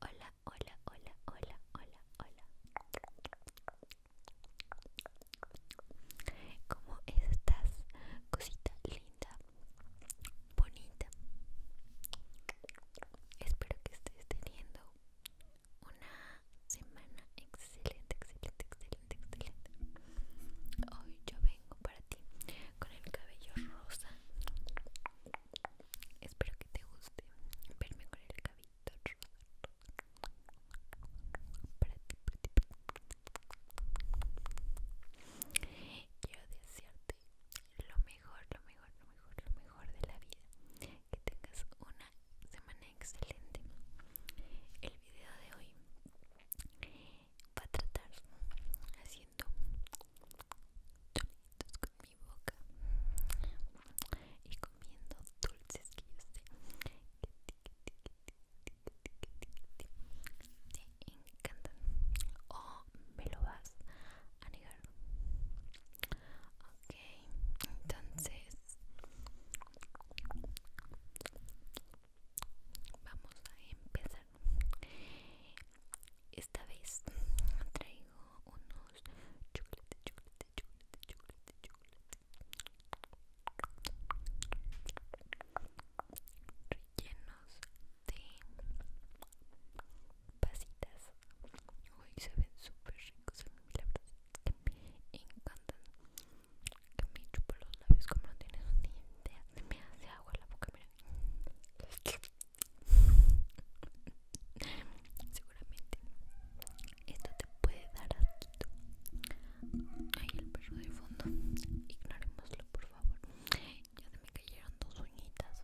Hola, hola, hola, hola, hola, hola. ¿Cómo estás? Cosita linda, bonita. Espero que estés teniendo una semana excelente, excelente, excelente excelente, Hoy yo vengo para ti con el cabello rosa. Espero que te guste verme con el cabello rosa. Para ti, para ti, para ti. Quiero desearte lo mejor, lo mejor, lo mejor, lo mejor de la vida. Que tengas una semana excelente. El video de hoy va a tratar haciendo dulces con mi boca y comiendo dulces que yo sé Que te encantan o me lo vas a negar ok entonces vamos a empezar esta vez traigo unos chocolate, chocolate, chocolate, chocolate, chocolate rellenos de pasitas. Hoy se ven súper ricos son Me encantan que me chupa los labios como no tienes ni idea. Me hace agua la boca, mira. Seguramente esto te puede dar asquito. Ahí el perro de fondo. Ignorémoslo, por favor. Ya se me cayeron dos uñitas.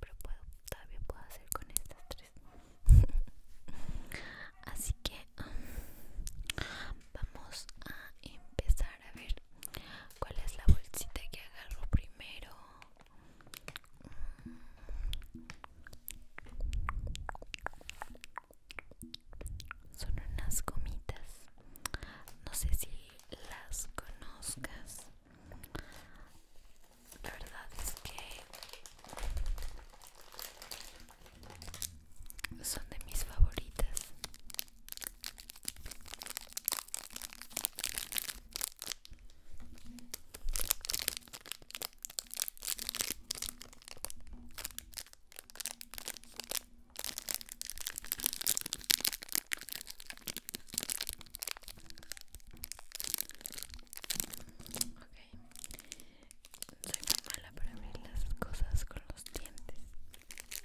Pero puedo, todavía puedo hacer con estas tres. Así que um, vamos a empezar a ver cuál es la bolsita que agarro primero mm. son unas gomitas no sé si las conozcas verdad es que son de mis favoritas Soy muy mala para abrir las cosas con los dientes.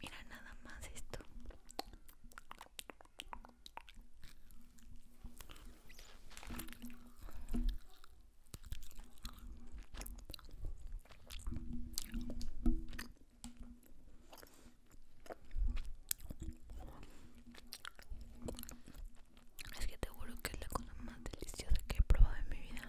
Mira nada más esto. Es que te juro que es la cosa más deliciosa que he probado en mi vida.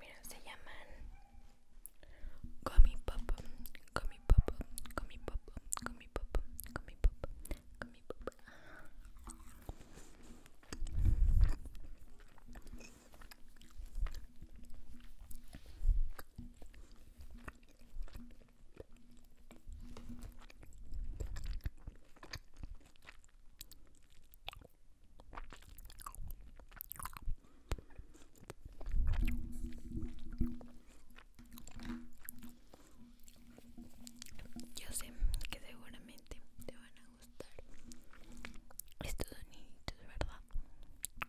Mira, se llaman Gummy Pop, Gummy Pop, Gummy Pop, Gummy Pop, Gummy Pop, Gummy Pop. Yo sé que seguramente te van a gustar estos de ¿verdad?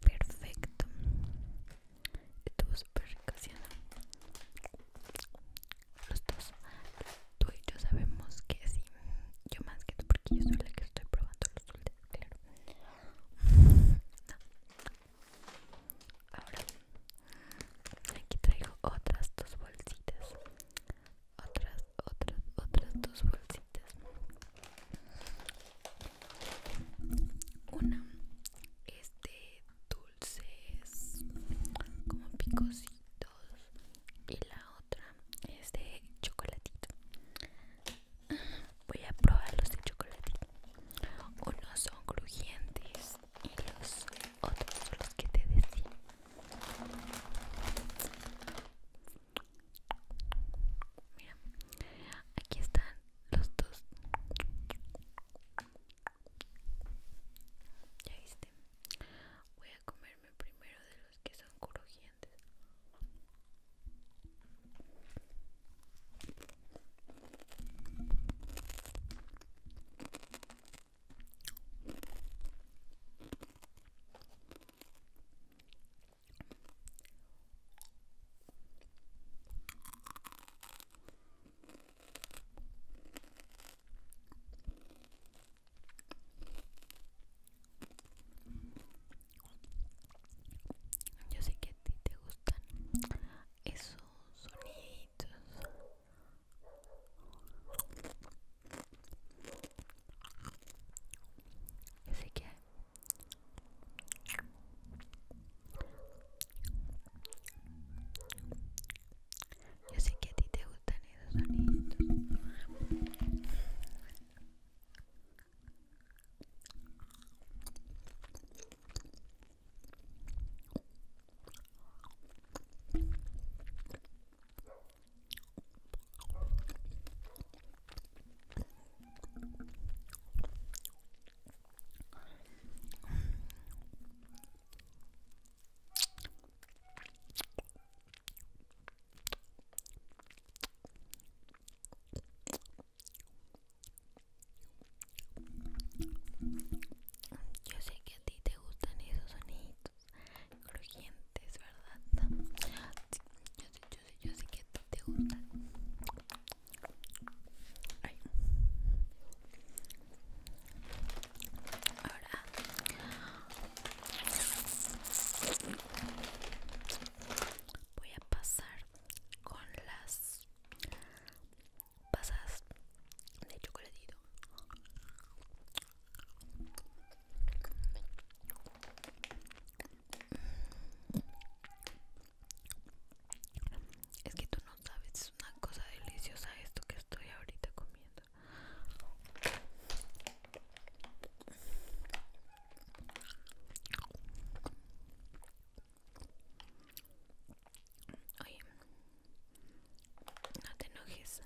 Perfecto. Estuvo súper casiano. Los dos, tú y yo sabemos que sí. Yo más que tú, porque yo soy la que estoy probando los dulces, claro. Ahora, aquí traigo otras dos bolsitas. Otras otras, otras dos bolsitas una es de dulces como picositos y la otra es de chocolatito voy a probar los de chocolatito unos son crujientes y los otros los que te decía Mira, aquí están los dos. Ya viste. Voy a comerme primero de los que son crujientes. Yo sé que a ti te gustan esos sonidos. Yo sé que yo sé que a ti te gustan esos sonidos. Yo sé que a ti te gustan esos soniditos crujientes, ¿verdad? Yo sé, que te gusta. Ahora. Voy a pasar con las pasas de chocolatito. Es que tú no sabes, es una cosa deliciosa esto que estoy ahorita comiendo. Oye, no te enojes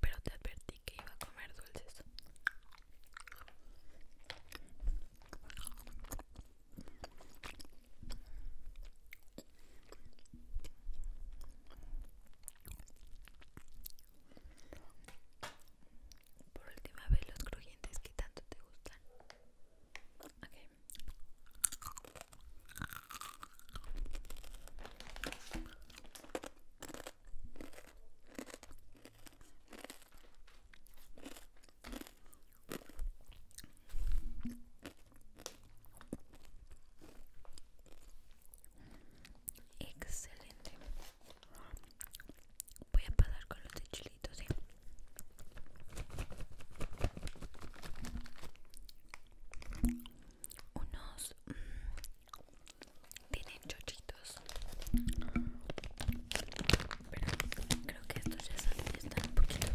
pero te advertí que iba a comer dulces. Por última vez, los crujientes que tanto te gustan. Excelente. Voy a pasar con los de Unos mm, tienen chochitos. Pero creo que estos ya están, un poquito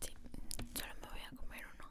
Sí, solo me voy a comer uno.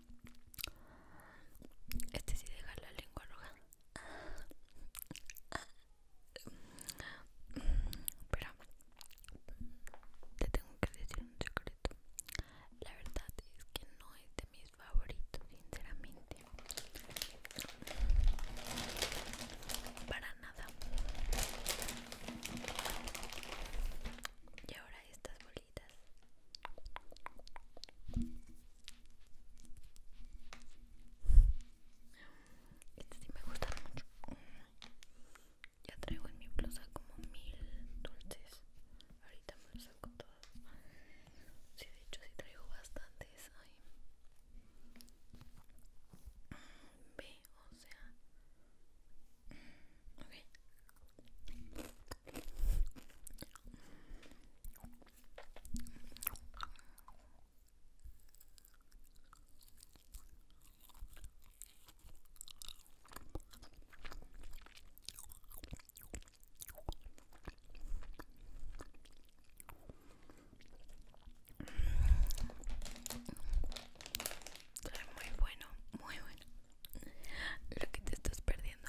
Este sí deja la lengua roja. Pero te tengo que decir un secreto. La verdad es que no es de mis favoritos, sinceramente. Para nada. Y ahora estás. Este sí me gusta mucho. Ya traigo en mi blusa como mil dulces. Ahorita me los saco todos. Sí, de hecho, sí traigo bastantes. Ay. Ve, o sea. Ok muy bueno, muy bueno. Lo que te estás perdiendo.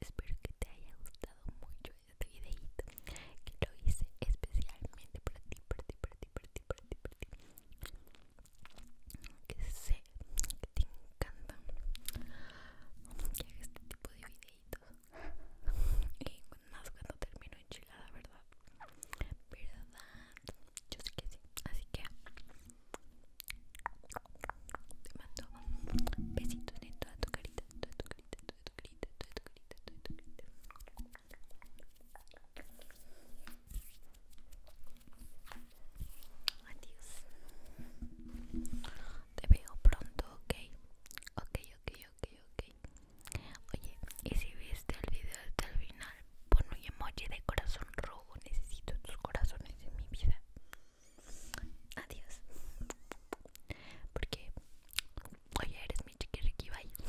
Espero que te haya gustado mucho este videito que lo hice especialmente para ti, para ti, para ti, para ti, que sé que te encanta que haga este tipo de videitos. Y más cuando termino enchilada, ¿verdad? ¿Verdad? Yo sé que sí. Así que te mando besitos en toda tu carita, toda tu carita, toda tu carita, toda tu carita, toda tu carita. Adiós. Te veo pronto, ok. Ok, ok, ok, ok. Oye, y si viste el video hasta el final, pon un emoji de corazón rojo. Necesito tus corazones en mi vida. Adiós. Porque, oye, eres mi chiquiriquibayo